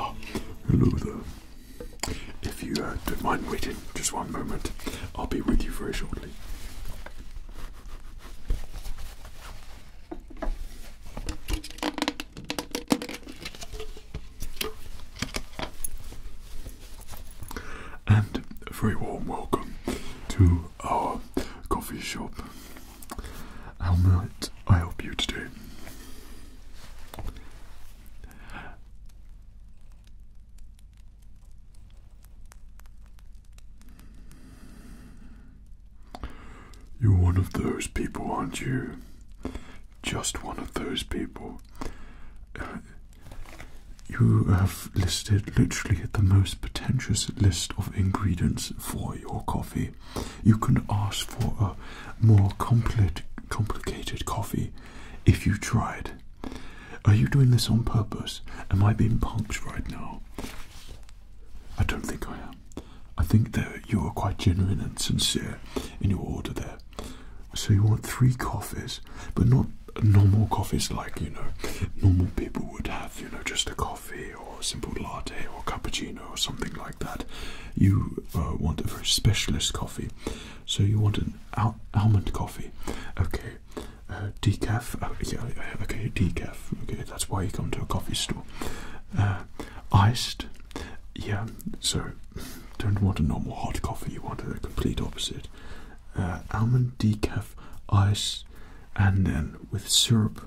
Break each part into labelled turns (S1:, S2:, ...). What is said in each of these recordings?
S1: Oh, hello there. If you uh, don't mind waiting just one moment, I'll be with you very shortly. And a very warm welcome to our coffee shop. How might I help you today? You're one of those people, aren't you? just one of those people. you have listed literally the most pretentious list of ingredients for your coffee. You can ask for a more compli complicated coffee if you tried. Are you doing this on purpose? Am I being punked right now? I don't think I am. I think that you are quite genuine and sincere in your order there. So you want three coffees, but not normal coffees like you know normal people would have. You know, just a coffee or a simple latte or cappuccino or something like that. You uh, want a very specialist coffee. So you want an almond coffee. Okay, uh, decaf. Oh, yeah, okay, decaf. Okay, that's why you come to a coffee store. Uh, iced. Yeah, so don't want a normal hot coffee, you want the complete opposite. Uh, almond decaf ice and then with syrup.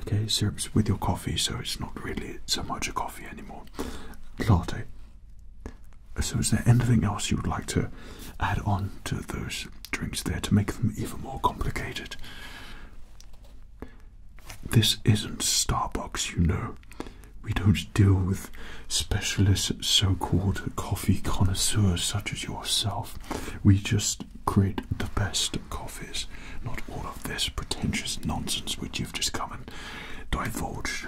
S1: Okay, syrups with your coffee, so it's not really so much a coffee anymore. Latte. So, is there anything else you would like to add on to those drinks there to make them even more complicated? This isn't Starbucks, you know. We don't deal with specialists, so called coffee connoisseurs such as yourself. We just create the best coffees, not all of this pretentious nonsense which you've just come and divulged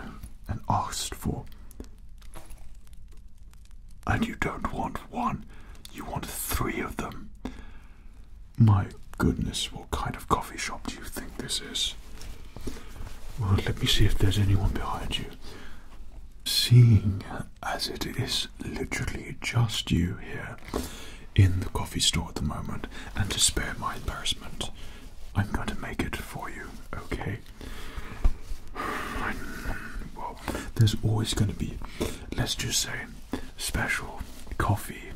S1: and asked for. And you don't want one, you want three of them. My goodness, what kind of coffee shop do you think this is? Well, let me see if there's anyone behind you. Seeing as it is literally just you here in the coffee store at the moment, and to spare my embarrassment, I'm going to make it for you, okay? Well, there's always going to be, let's just say, special coffee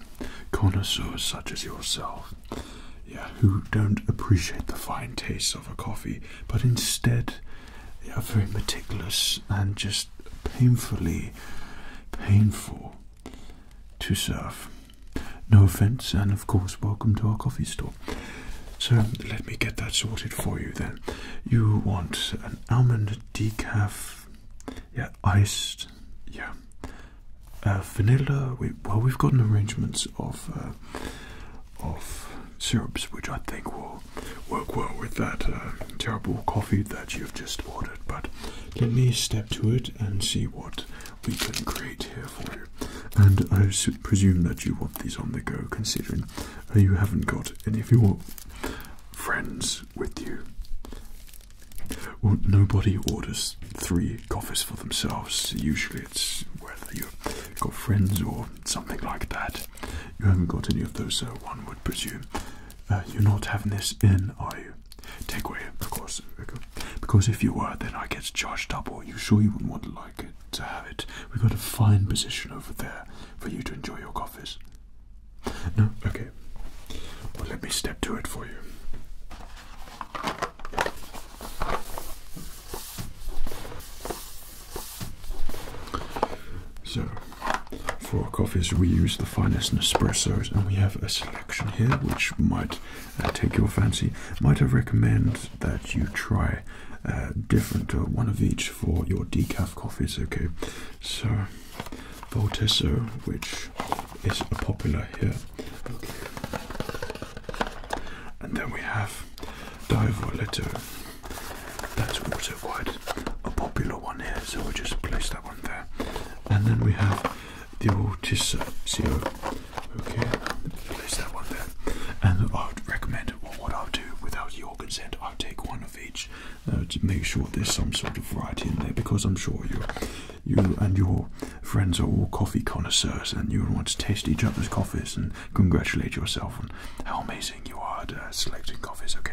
S1: connoisseurs such as yourself yeah, who don't appreciate the fine taste of a coffee, but instead they are very meticulous and just painfully painful to serve. No offense, and of course, welcome to our coffee store. So let me get that sorted for you then. You want an almond decaf, yeah, iced, yeah, uh, vanilla. well, we've got an arrangement of uh, of syrups which I think will work well with that uh, terrible coffee that you've just ordered. But let me step to it and see what we can create here for you. And I presume that you want these on the go, considering you haven't got any of your friends with you. Well, nobody orders three Coffees for themselves. Usually it's whether you've got friends or something like that. You haven't got any of those, so uh, one would presume. Uh, you're not having this in, are you? away, of course. Because if you were, then I get charged double. You sure you wouldn't want to like it to have it? We've got a fine position over there for you to enjoy your coffees. No, okay. Well, let me step to it for you. So, for coffees, we use the finest Nespressos, and we have a selection here which might uh, take your fancy. Might I recommend that you try uh, different uh, one of each for your decaf coffees? Okay, so Voltesso, which is popular here. And then we have Diavoletto. That's also quite a popular one here, so we'll just place that one there. And then we have the Altisio. Okay, place that one there. And I would recommend what I'll do without your consent, I'll take one of each uh, to make sure there's some sort of variety in there because I'm sure you're you and your friends are all coffee connoisseurs and you want to taste each other's coffees and congratulate yourself on how amazing you are at uh, selecting coffees, okay?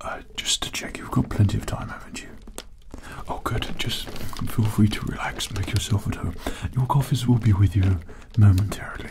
S1: Uh, just to check, you've got plenty of time, haven't you? Oh, good. Just feel free to relax, make yourself at home. Your coffees will be with you momentarily.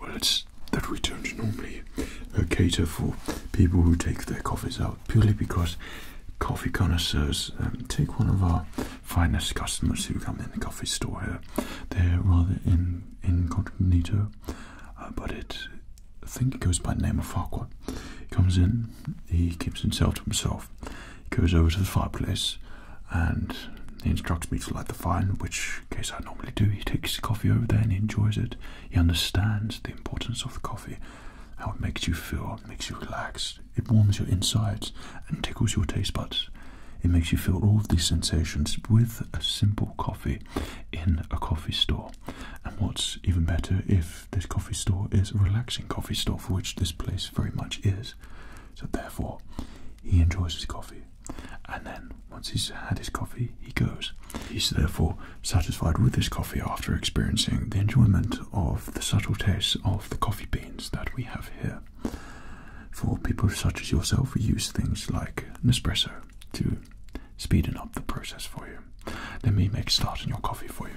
S1: Well, it's that we don't normally cater for people who take their coffees out purely because coffee connoisseurs um, take one of our finest customers who come in the coffee store here. They're rather in incognito, uh, but it I think it goes by the name of Farquhar. He comes in, he keeps himself to himself. He goes over to the fireplace and he instructs me to light the fire, in which case I normally do. He takes his coffee over there and he enjoys it. He understands the importance of the coffee, how it makes you feel, it makes you relax, it warms your insides and tickles your taste buds. It makes you feel all these sensations with a simple coffee in a coffee store. And what's even better if this coffee store is a relaxing coffee store, which this place very much is. So therefore, he enjoys his coffee. And then, once he's had his coffee, he goes. He's therefore satisfied with his coffee after experiencing the enjoyment of the subtle taste of the coffee beans that we have here. For people such as yourself, we use things like Nespresso to speeden up the process for you. Let me make start in your coffee for you.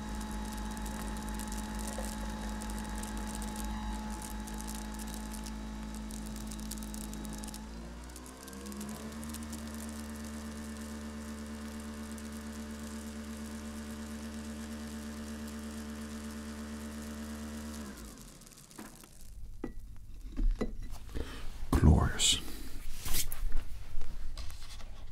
S1: Glorious.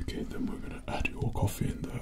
S1: Okay, then we're going to add your coffee in there.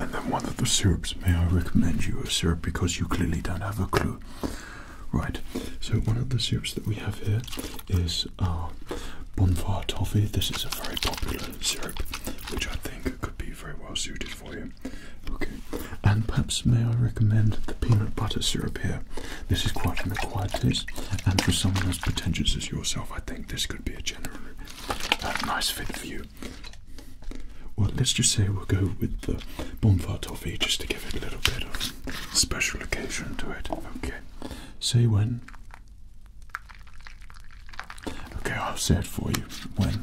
S1: And then one of the syrups, may I recommend you a syrup because you clearly don't have a clue. Right, so one of the syrups that we have here is our uh, Bonfire Toffee. This is a very popular syrup, which I think could be very well suited for you. Okay, and perhaps may I recommend the peanut butter syrup here? This is quite an acquired taste, and for someone as pretentious as yourself, I think think this could be a generally uh, nice fit for you. Well, let's just say we'll go with the bonfire toffee just to give it a little bit of special occasion to it. Okay, say when. Okay, I'll say it for you. When.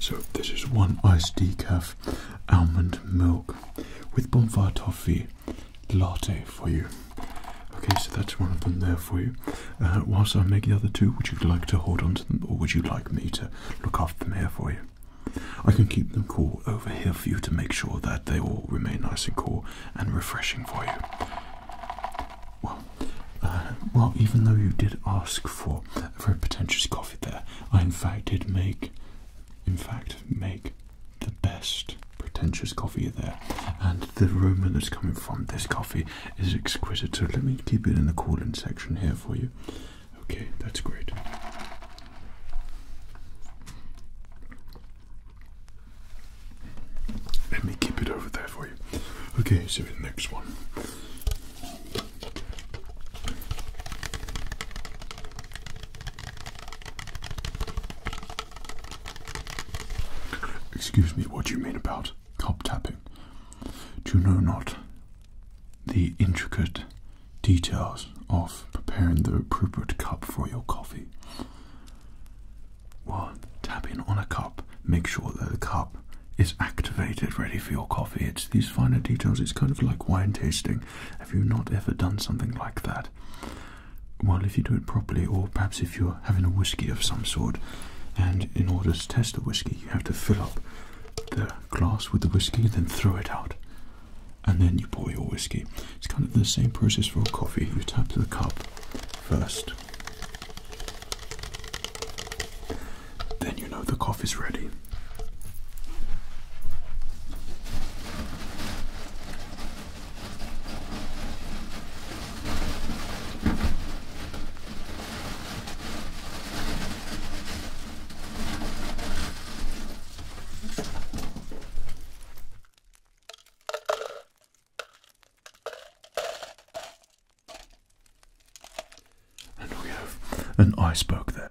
S1: So this is one iced decaf almond milk with Bonfire toffee latte for you. Okay, so that's one of them there for you. Uh, whilst I make the other two, would you like to hold on to them, or would you like me to look after them here for you? I can keep them cool over here for you to make sure that they all remain nice and cool and refreshing for you. Well, uh, well, even though you did ask for a very pretentious coffee there, I in fact did make, in fact, make the best pretentious coffee there. And the aroma that's coming from this coffee is exquisite. So let me keep it in the cooling section here for you. Okay, that's great. Let me keep it over there for you. Okay, so the next one. Excuse me, what do you mean about cop tapping? Do you know not the intricate details of preparing the appropriate cup for your coffee. One, tap on a cup. Make sure that the cup is activated, ready for your coffee. It's these finer details, it's kind of like wine tasting. Have you not ever done something like that? Well, if you do it properly, or perhaps if you're having a whiskey of some sort, and in order to test the whiskey, you have to fill up the glass with the whiskey, then throw it out and then you pour your whiskey. It's kind of the same process for a coffee. You tap the cup first. Then you know the coffee's ready. And we have an iceberg there.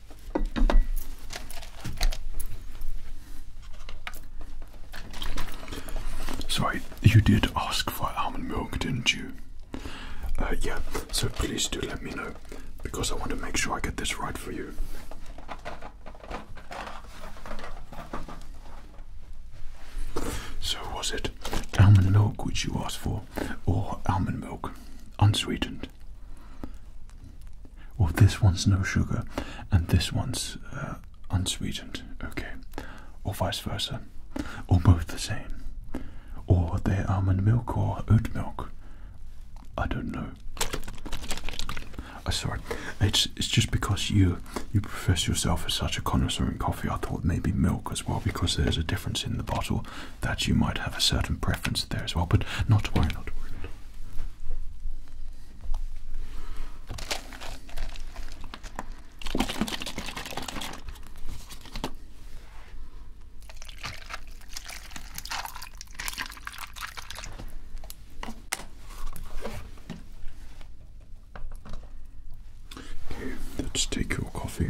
S1: Sorry, you did ask for almond milk, didn't you? Uh, yeah, so please do let me know because I want to make sure I get this right for you. So, was it almond milk which you asked for, or almond milk unsweetened? Well, oh, this one's no sugar, and this one's uh, unsweetened, okay, or vice versa, or both the same, or they're almond milk or oat milk. I don't know. Oh, sorry, it's it's just because you you profess yourself as such a connoisseur in coffee. I thought maybe milk as well because there's a difference in the bottle that you might have a certain preference there as well, but not why not to let's take your coffee.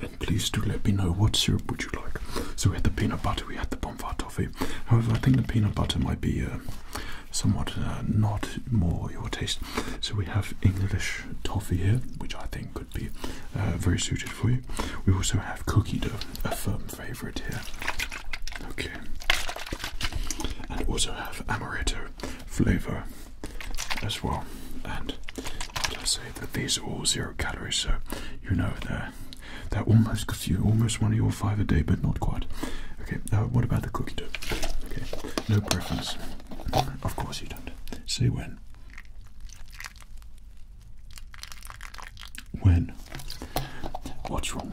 S1: And please do let me know what syrup would you like. So we had the peanut butter, we had the bonfire toffee. However, I think the peanut butter might be uh, somewhat uh, not more your taste. So we have English toffee here, which I think could be uh, very suited for you. We also have cookie dough, a firm favourite here. Okay. And also have amaretto flavor as well. And I say that these are all zero calories, so you know they're they're almost you almost one of your five a day, but not quite. Okay. Uh, what about the cookie dough? Okay. No preference. Of course you don't. Say when. When? What's wrong?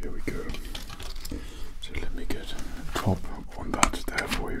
S1: Here we go. So let me get a top on that there for you.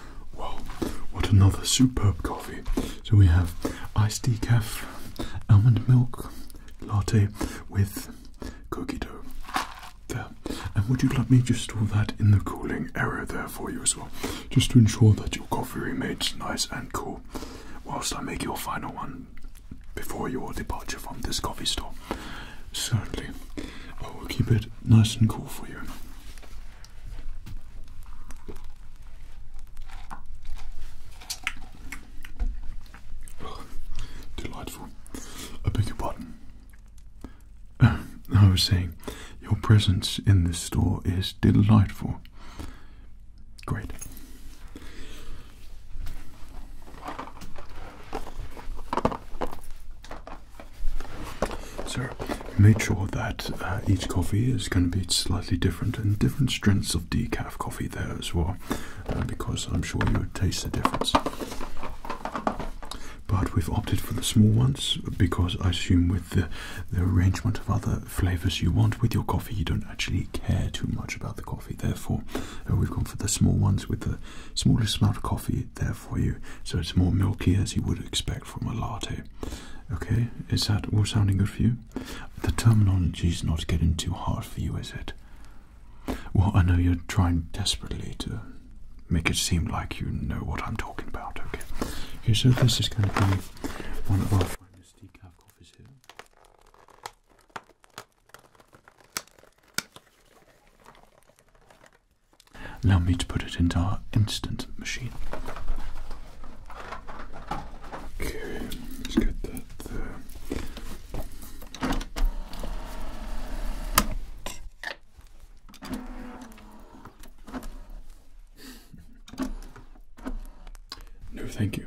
S1: Well, what another superb coffee. So we have iced decaf, almond milk, latte with cookie dough. There. And would you like me just store that in the cooling area there for you as well? Just to ensure that your coffee remains nice and cool whilst I make your final one before your departure from this coffee store. Certainly. I will keep it nice and cool for you delightful. I beg your pardon. I was saying, your presence in this store is delightful. Great. Sir, made sure that uh, each coffee is going to be slightly different and different strengths of decaf coffee there as well, uh, because I'm sure you would taste the difference. But we've opted for the small ones because I assume with the, arrangement of other flavors you want with your coffee, you don't actually care too much about the coffee. Therefore, uh, we've gone for the small ones with the smallest amount of coffee there for you, so it's more milky as you would expect from a latte Okay, is that all sounding good for you? The terminology is not getting too hard for you, is it? Well, I know you're trying desperately to make it seem like you know what I'm talking about, okay? Okay, so this is going to be one of our finest decaf coffees here. Allow me to put it into our instant machine. Okay, let's get that there. No, thank you.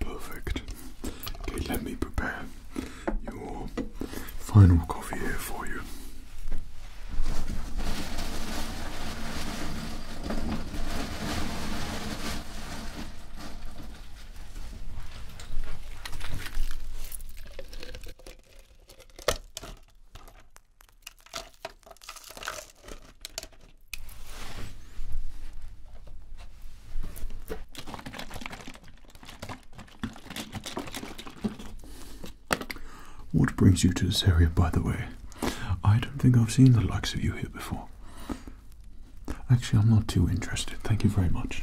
S1: Perfect. Okay, let me prepare your final coffee here for you. What brings you to this area, by the way? I don't think I've seen the likes of you here before. Actually, I'm not too interested. Thank you very much.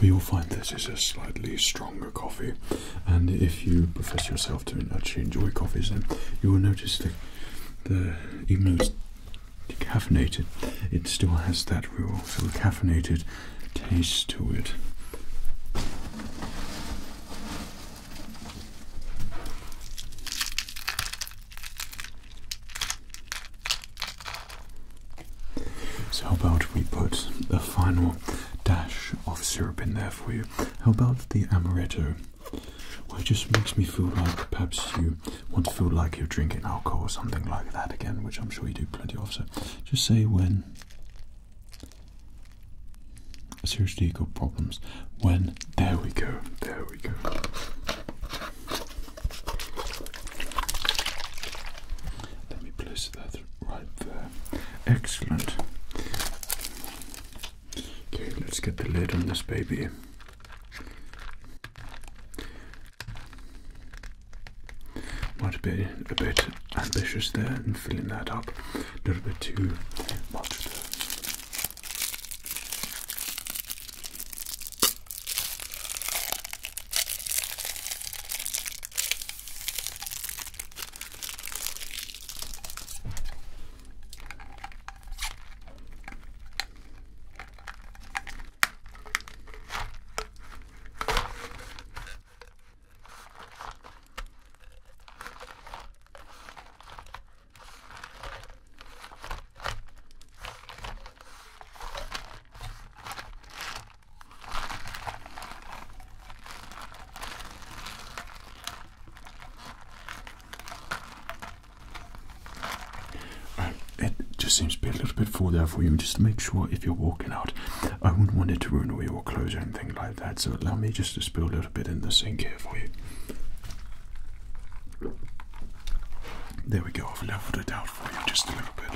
S1: Well, you'll find this is a slightly stronger coffee, and if you profess yourself to actually enjoy coffees, then you will notice that even though it's decaffeinated, it still has that real sort caffeinated taste to it. So, how about we put a final dash of syrup in there for you? How about the amaretto? Well, it just makes me feel like perhaps you want to feel like you're drinking alcohol or something like that again, which I'm sure you do plenty of. So, just say when Seriously, you got problems when there we go, there we go. Let me place that right there. Excellent. Okay, let's get the lid on this baby. Might be a bit ambitious there and filling that up a little bit too much it just seems to be a little bit full there for you. Just to make sure if you're walking out I wouldn't want it to ruin all your clothes or anything like that. So allow me just to spill a little bit in the sink here for you. There we go, I've leveled it out for you just a little bit.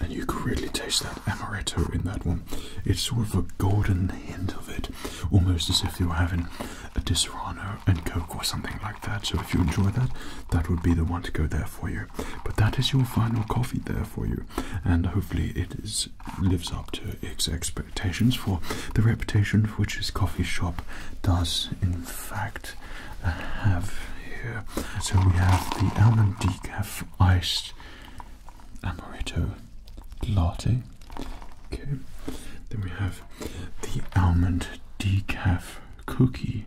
S1: And you can really taste that amaretto in that one. It's sort of a golden hint of it, almost as if you were having a Disaronno and Coke or something like so if you enjoy that, that would be the one to go there for you. But that is your final coffee there for you, and hopefully it is lives up to its expectations for the reputation which this coffee shop does in fact uh, have here. So we have the almond decaf iced amaretto latte. Okay. Then we have the almond decaf cookie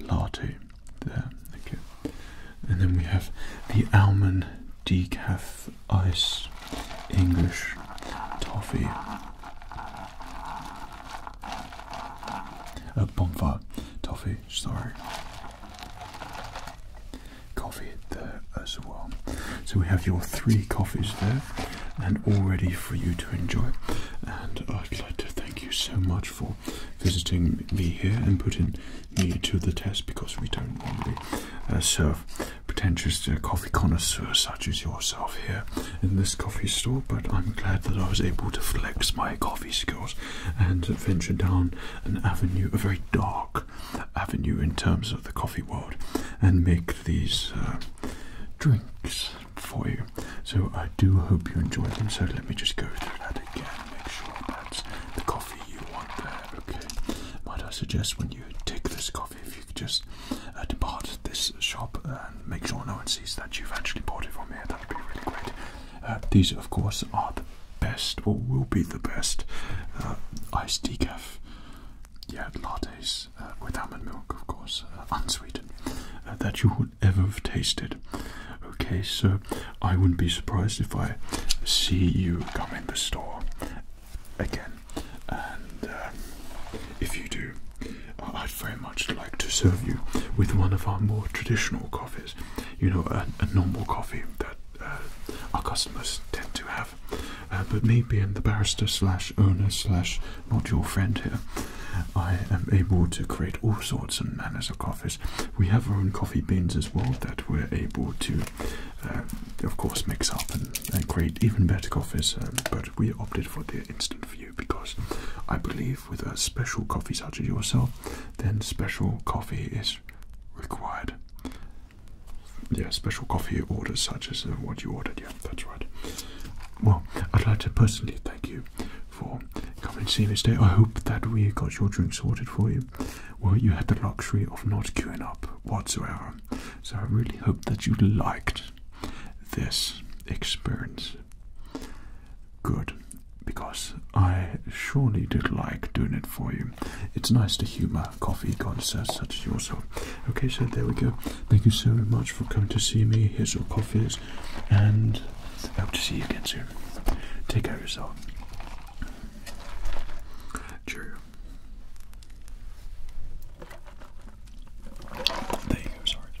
S1: latte there. Okay. And then we have the almond decaf ice English toffee. A uh, bonfire toffee, sorry. Coffee there as well. So we have your three coffees there and all ready for you to enjoy. And I'd like to thank you so much for visiting me here and putting me to the test because we don't normally uh, serve pretentious uh, coffee connoisseurs such as yourself here in this coffee store. But I'm glad that I was able to flex my coffee skills and venture down an avenue, a very dark avenue in terms of the coffee world, and make these. Uh, drinks for you. So I do hope you enjoyed them. So let me just go through that again. Make sure that's the coffee you want there. Okay. What I suggest when you take this coffee, if you could just uh, depart this shop and make sure no one sees that you've actually bought it from here. That would be really great. Uh, these, of course, are the best or will be the best uh, iced decaf. Yeah, lattes uh, with almond milk, of course, uh, unsweetened, uh, that you would ever have tasted. Okay, so I wouldn't be surprised if I see you come in the store again, and if you do, I'd very much like to serve you with one of our more traditional coffees. You know, a, normal coffee that our customers tend to have, but me being the barrister slash owner not your friend here, I am able to create all sorts and manners of coffees. We have our own coffee beans as well that we're able to, uh, of course, mix up and, create even better coffees. Um, but we opted for the instant view because I believe with a special coffee such as yourself, then special coffee is required. Yeah, special coffee orders such as uh, what you ordered, yeah that's right. Well, I'd like to personally thank you for coming to see me today. I hope that we got your drink sorted for you. Well, you had the luxury of not queuing up whatsoever. So I really hope that you liked this experience. Good, because I surely did like doing it for you. It's nice to humor coffee gods such as yourself. Okay, so there we go. Thank you so much for coming to see me. Here's your coffees, and hope to see you again soon. Take care of yourself. Cheerio. There you go, sorry.